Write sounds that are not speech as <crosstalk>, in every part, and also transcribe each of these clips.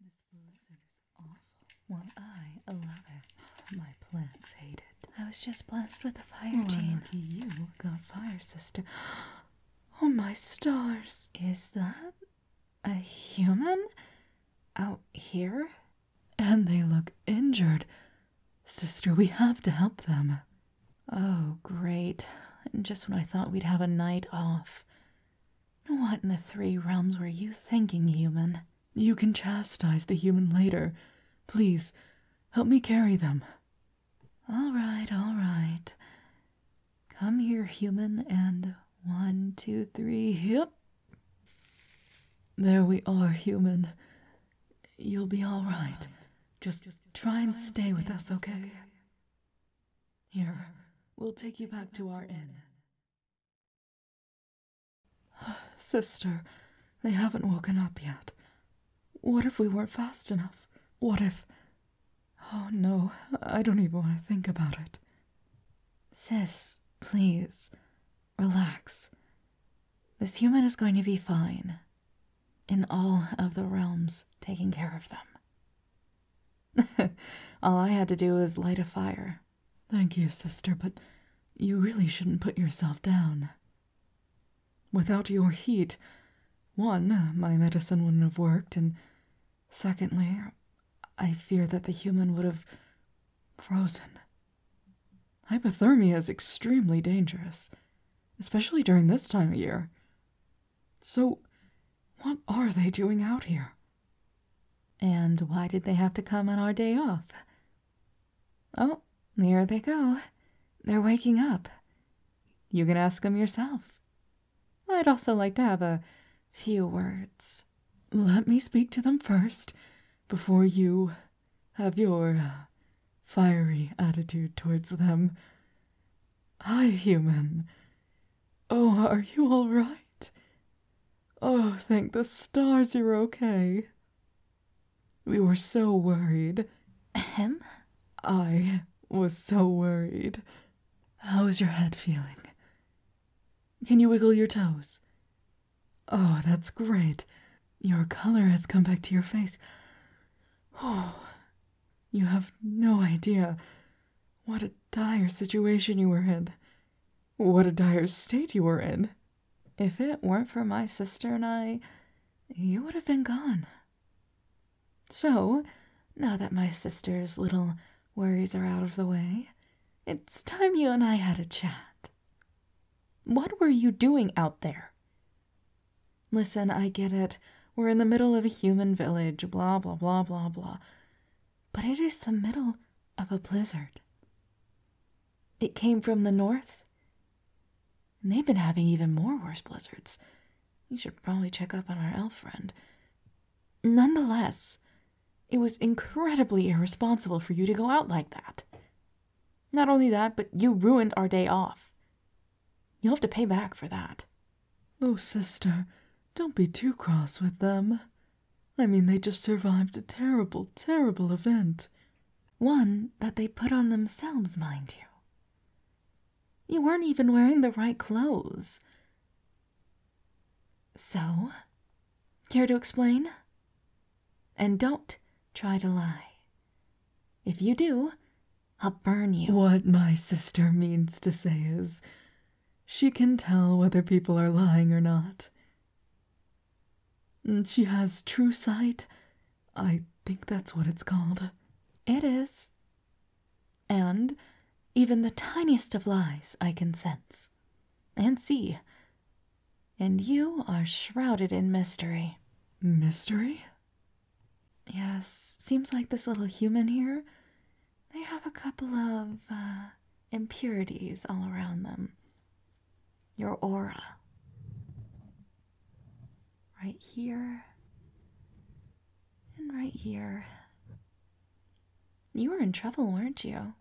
This blizzard is awful. Well, I love it. My plants hate it. I was just blessed with a fire, well, you got fire, sister. <gasps> Oh, my stars! Is that a human out here? And they look injured. Sister, we have to help them. Oh, great. And just when I thought we'd have a night off. What in the three realms were you thinking, human? You can chastise the human later. Please, help me carry them. All right, all right. Come here, human, and one, two, three, hip. There we are, human. You'll be all right. Just try and stay with us, okay? Here, we'll take you back to our inn. <sighs> Sister, they haven't woken up yet. What if we weren't fast enough? What if. Oh no, I don't even want to think about it. Sis, please. Relax. This human is going to be fine. In all of the realms, taking care of them. <laughs> all I had to do was light a fire. Thank you, sister, but you really shouldn't put yourself down. Without your heat, one, my medicine wouldn't have worked, and secondly, I fear that the human would have frozen. Hypothermia is extremely dangerous, especially during this time of year. So, what are they doing out here? And why did they have to come on our day off? Oh, there they go. They're waking up. You can ask them yourself. I'd also like to have a few words. Let me speak to them first, before you have your fiery attitude towards them. Hi, human. Oh, are you all right? Oh, thank the stars you're okay. We were so worried. Ahem? I was so worried. How is your head feeling? Can you wiggle your toes? Oh, that's great. Your color has come back to your face. Oh, you have no idea what a dire situation you were in. What a dire state you were in. If it weren't for my sister and I, you would have been gone. So, now that my sister's little Worries are out of the way. It's time you and I had a chat. What were you doing out there? Listen, I get it. We're in the middle of a human village, blah, blah, blah, blah, blah. But it is the middle of a blizzard. It came from the north. And they've been having even more worse blizzards. You should probably check up on our elf friend. Nonetheless, it was incredibly irresponsible for you to go out like that. Not only that, but you ruined our day off. You'll have to pay back for that. Oh, sister, don't be too cross with them. I mean, they just survived a terrible, terrible event. One that they put on themselves, mind you. You weren't even wearing the right clothes. So, care to explain? And don't try to lie. If you do, I'll burn you. What my sister means to say is she can tell whether people are lying or not. Mm, she has true sight. I think that's what it's called. It is. And even the tiniest of lies I can sense and see. And you are shrouded in mystery. Mystery? Yes, seems like this little human here. They have a couple of uh, impurities all around them. Your aura. Right here. And right here. You were in trouble, weren't you?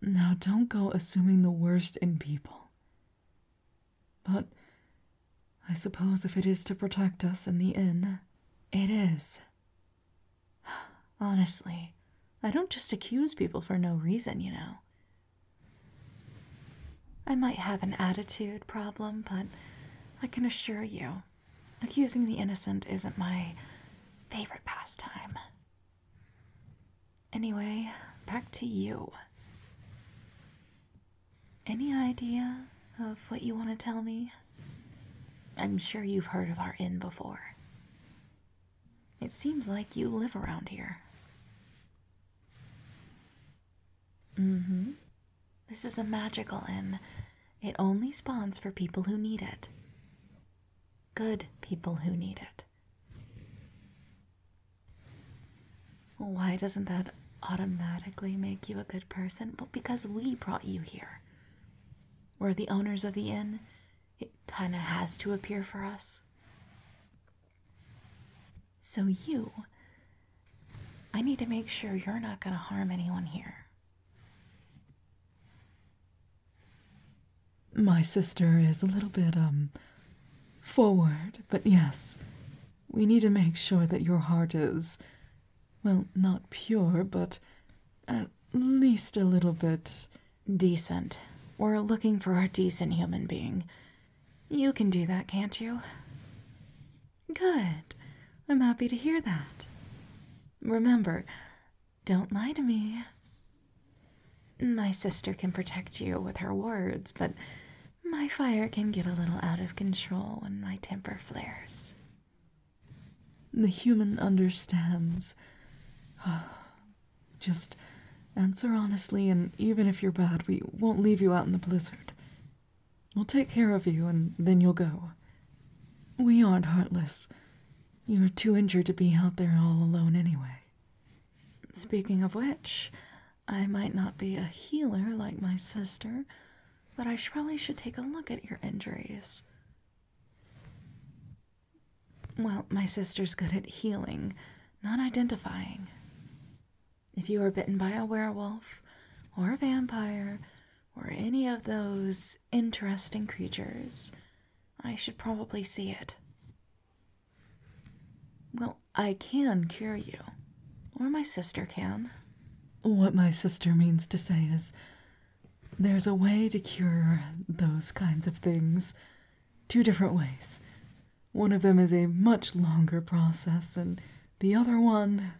Now don't go assuming the worst in people. But I suppose if it is to protect us in the inn, it is. <sighs> Honestly, I don't just accuse people for no reason, you know. I might have an attitude problem, but I can assure you, Accusing the innocent isn't my favorite pastime. Anyway, back to you. Any idea of what you want to tell me? I'm sure you've heard of our inn before. It seems like you live around here. Mm hmm. This is a magical inn. It only spawns for people who need it. Good people who need it. Why doesn't that automatically make you a good person? Well, because we brought you here. We're the owners of the inn. It kind of has to appear for us. So, you, I need to make sure you're not going to harm anyone here. My sister is a little bit, um, forward, but yes, we need to make sure that your heart is, well, not pure, but at least a little bit decent. We're looking for a decent human being. You can do that, can't you? Good. I'm happy to hear that. Remember, don't lie to me. My sister can protect you with her words, but my fire can get a little out of control when my temper flares. The human understands. <sighs> Just answer honestly, and even if you're bad, we won't leave you out in the blizzard. We'll take care of you and then you'll go. We aren't heartless. You're too injured to be out there all alone anyway. Speaking of which, I might not be a healer like my sister, but I probably should take a look at your injuries. Well, my sister's good at healing, not identifying. If you are bitten by a werewolf or a vampire or any of those interesting creatures, I should probably see it. Well, I can cure you, or my sister can. What my sister means to say is there's a way to cure those kinds of things. Two different ways. One of them is a much longer process and the other one,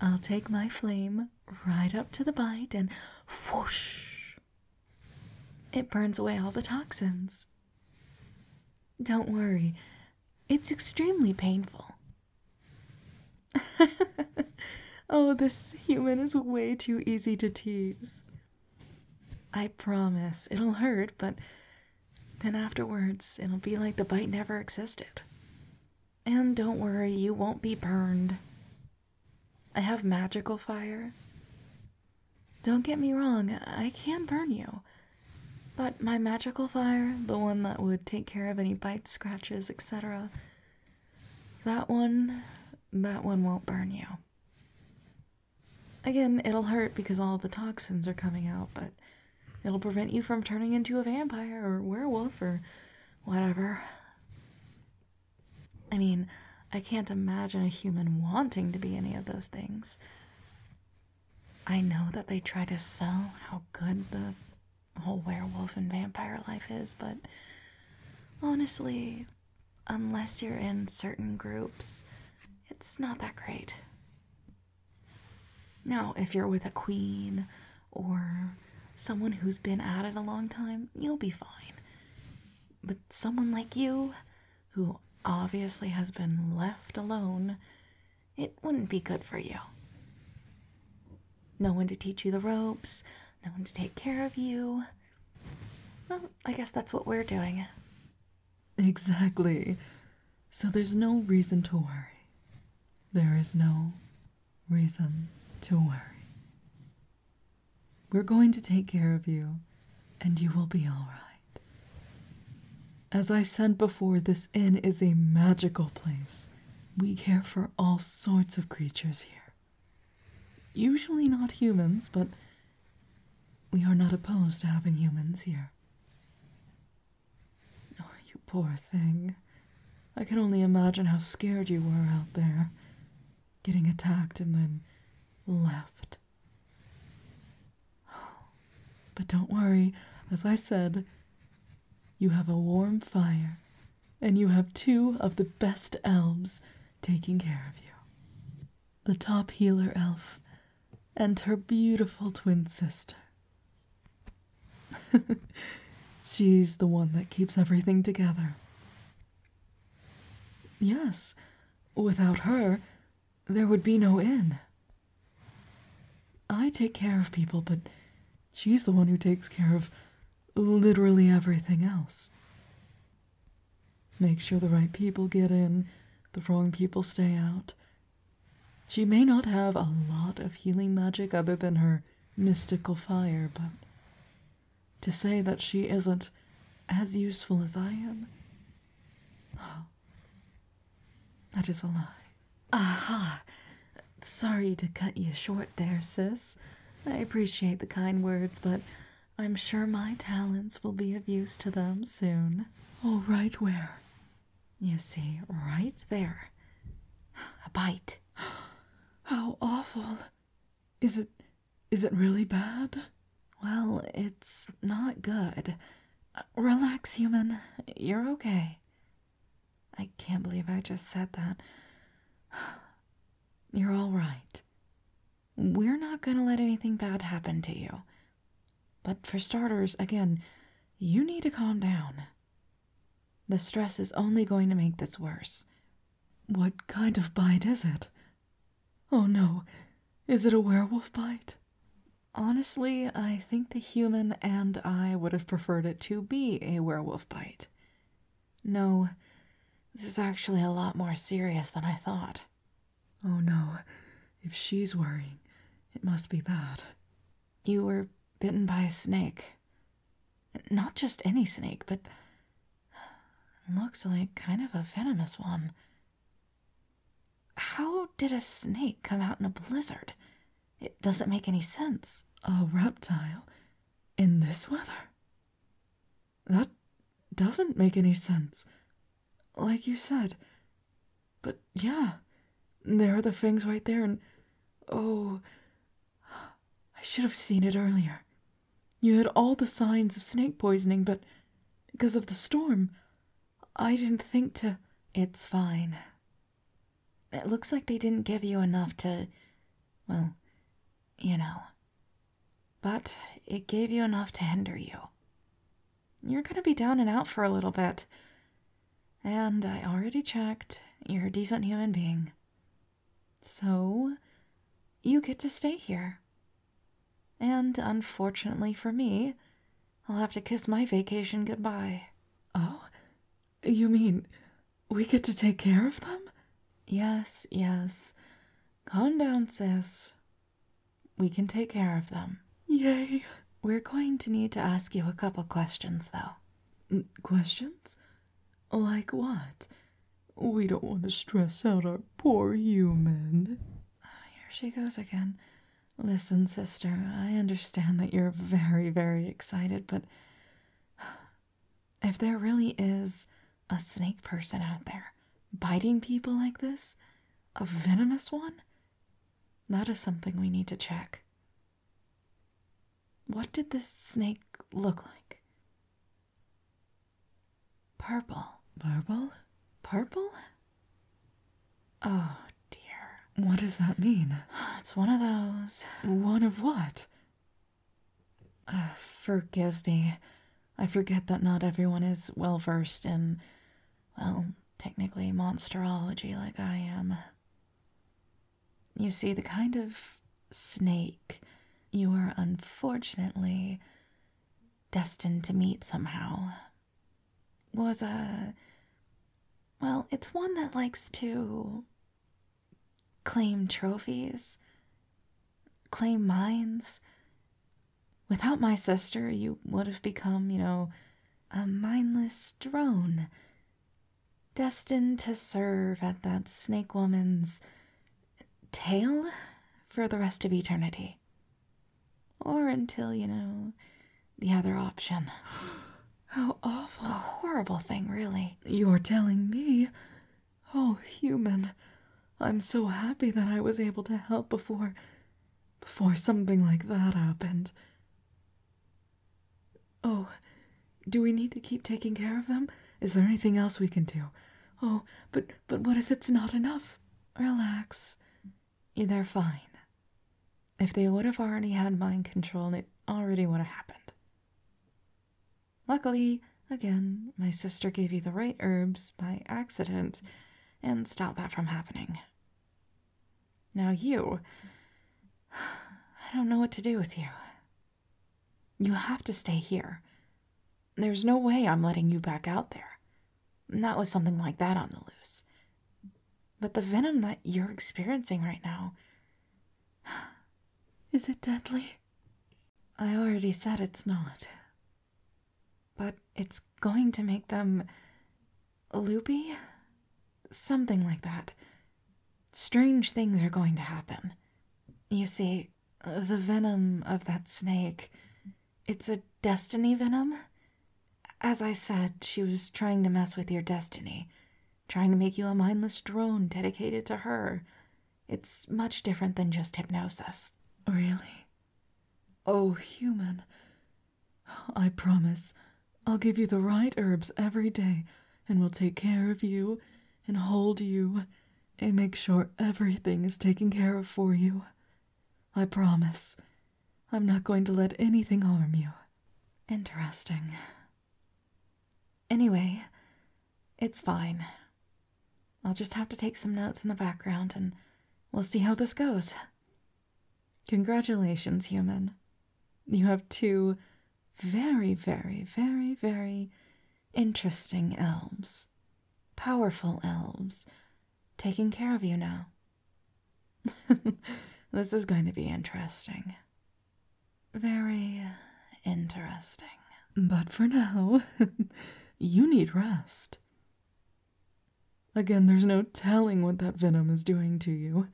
I'll take my flame right up to the bite and whoosh. It burns away all the toxins. Don't worry, it's extremely painful. <laughs> oh, this human is way too easy to tease. I promise it'll hurt, but then afterwards it'll be like the bite never existed. And don't worry, you won't be burned. I have magical fire. Don't get me wrong, I can burn you. But my magical fire, the one that would take care of any bites, scratches, etc., that one, that one won't burn you. Again, it'll hurt because all the toxins are coming out, but It'll prevent you from turning into a vampire or werewolf or whatever. I mean, I can't imagine a human wanting to be any of those things. I know that they try to sell how good the whole werewolf and vampire life is, but honestly, unless you're in certain groups, it's not that great. Now, if you're with a queen or someone who's been at it a long time, you'll be fine. But someone like you, who obviously has been left alone, it wouldn't be good for you. No one to teach you the ropes, no one to take care of you. Well, I guess that's what we're doing. Exactly. So there's no reason to worry. There is no reason to worry. We're going to take care of you, and you will be all right. As I said before, this inn is a magical place. We care for all sorts of creatures here. Usually not humans, but we are not opposed to having humans here. Oh, you poor thing. I can only imagine how scared you were out there, getting attacked and then left. Oh, but don't worry, as I said, you have a warm fire, and you have two of the best elves taking care of you. The top healer elf and her beautiful twin sister. <laughs> She's the one that keeps everything together. Yes, without her, there would be no inn. I take care of people, but she's the one who takes care of literally everything else. Make sure the right people get in, the wrong people stay out, she may not have a lot of healing magic other than her mystical fire, but to say that she isn't as useful as I am, oh, that is a lie. Ah, Sorry to cut you short there, sis. I appreciate the kind words, but I'm sure my talents will be of use to them soon. All right, right where? You see, right there. A bite. How awful. Is it. is it really bad? Well, it's not good. Uh, relax, human. You're okay. I can't believe I just said that. <sighs> You're all right. We're not gonna let anything bad happen to you. But for starters, again, you need to calm down. The stress is only going to make this worse. What kind of bite is it? Oh no, is it a werewolf bite? Honestly, I think the human and I would have preferred it to be a werewolf bite. No, this is actually a lot more serious than I thought. Oh no, if she's worrying, it must be bad. You were bitten by a snake. Not just any snake, but looks like kind of a venomous one. How did a snake come out in a blizzard? It doesn't make any sense. A reptile in this weather? That doesn't make any sense. Like you said, but yeah, there are the fangs right there, and oh, I should have seen it earlier. You had all the signs of snake poisoning, but because of the storm, I didn't think to. It's fine. It looks like they didn't give you enough to. Well, you know. But it gave you enough to hinder you. You're gonna be down and out for a little bit. And I already checked, you're a decent human being. So, you get to stay here. And unfortunately for me, I'll have to kiss my vacation goodbye. Oh? You mean we get to take care of them? Yes, yes. Calm down, sis. We can take care of them. Yay. We're going to need to ask you a couple questions, though. questions? Like what? We don't want to stress out our poor human. Ah, here she goes again. Listen, sister, I understand that you're very, very excited, but if there really is a snake person out there biting people like this, a venomous one? That is something we need to check. What did this snake look like? Purple. Purple? Purple? Oh dear. What does that mean? It's one of those. One of what? Uh, forgive me. I forget that not everyone is well versed in, well, technically monsterology like I am. You see, the kind of snake you are unfortunately destined to meet somehow was a. Well, it's one that likes to claim trophies, claim mines, Without my sister, you would have become, you know, a mindless drone, destined to serve at that snake woman's tail for the rest of eternity. Or until, you know, the other option. <gasps> How awful. A horrible thing, really. You're telling me, oh human, I'm so happy that I was able to help before before something like that happened. Oh, do we need to keep taking care of them? Is there anything else we can do? Oh, but but what if it's not enough? Relax. They're fine. If they would have already had mind control, it already would have happened. Luckily, Again, my sister gave you the right herbs by accident and stopped that from happening. Now, you. <sighs> I don't know what to do with you. You have to stay here. There's no way I'm letting you back out there. Not with something like that on the loose. But the venom that you're experiencing right now. <sighs> Is it deadly? I already said it's not. But it's going to make them loopy? Something like that. Strange things are going to happen. You see, the venom of that snake, it's a destiny venom? As I said, she was trying to mess with your destiny, trying to make you a mindless drone dedicated to her. It's much different than just hypnosis. Really? Oh, human. I promise. I'll give you the right herbs every day, and we'll take care of you and hold you and make sure everything is taken care of for you. I promise. I'm not going to let anything harm you. Interesting. Anyway, it's fine. I'll just have to take some notes in the background and we'll see how this goes. Congratulations, human. You have two very, very, very, very interesting elves. Powerful elves. Taking care of you now. <laughs> this is going to be interesting. Very interesting. But for now, <laughs> you need rest. Again, there's no telling what that venom is doing to you.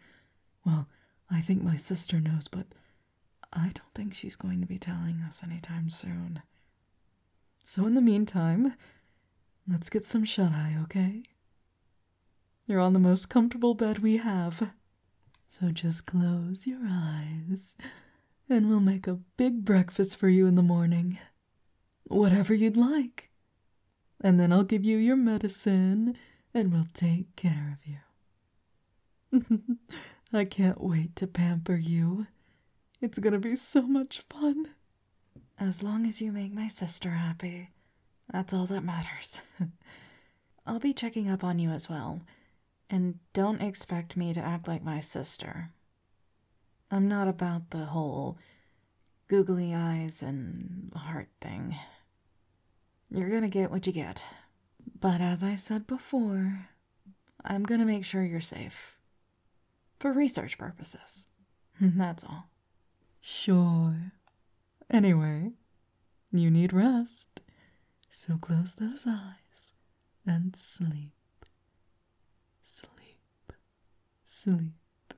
Well, I think my sister knows, but I don't think she's going to be telling us any time soon. So, in the meantime, let's get some shut eye, okay? You're on the most comfortable bed we have. So just close your eyes and we'll make a big breakfast for you in the morning. Whatever you'd like. And then I'll give you your medicine and we'll take care of you. <laughs> I can't wait to pamper you. It's gonna be so much fun. As long as you make my sister happy, that's all that matters. <laughs> I'll be checking up on you as well. And don't expect me to act like my sister. I'm not about the whole googly eyes and heart thing. You're gonna get what you get. But as I said before, I'm gonna make sure you're safe. For research purposes. <laughs> That's all. Sure. Anyway, you need rest, so close those eyes and sleep, sleep, sleep.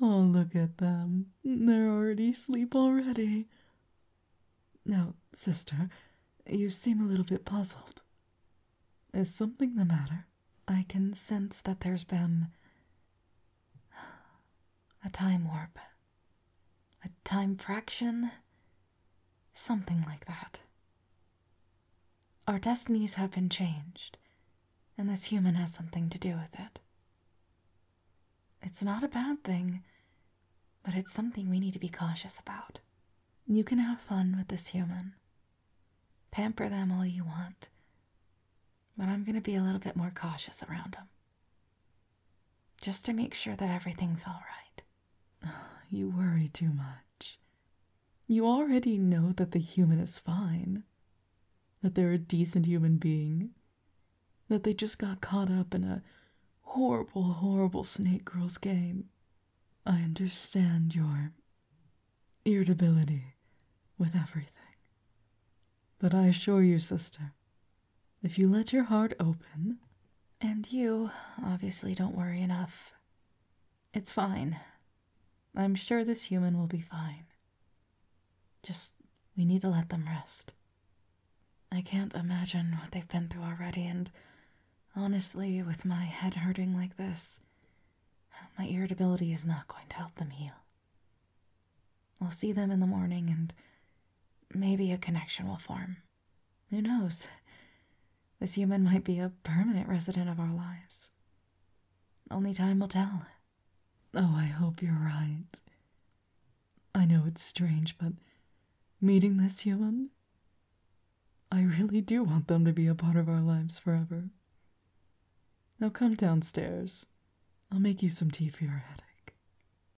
Oh, look at them. They're already asleep already. Now, sister, you seem a little bit puzzled. Is something the matter? I can sense that there's been a time warp, a time fraction, Something like that. Our destinies have been changed, and this human has something to do with it. It's not a bad thing, but it's something we need to be cautious about. You can have fun with this human, pamper them all you want, but I'm going to be a little bit more cautious around them just to make sure that everything's all right. <sighs> You worry too much. You already know that the human is fine, that they're a decent human being, that they just got caught up in a horrible, horrible Snake Girls game. I understand your irritability with everything. But I assure you, sister, if you let your heart open. And you obviously don't worry enough. It's fine. I'm sure this human will be fine. Just, we need to let them rest. I can't imagine what they've been through already, and honestly, with my head hurting like this, my irritability is not going to help them heal. I'll see them in the morning, and maybe a connection will form. Who knows? This human might be a permanent resident of our lives. Only time will tell. Oh, I hope you're right. I know it's strange, but meeting this human, I really do want them to be a part of our lives forever. Now come downstairs. I'll make you some tea for your headache.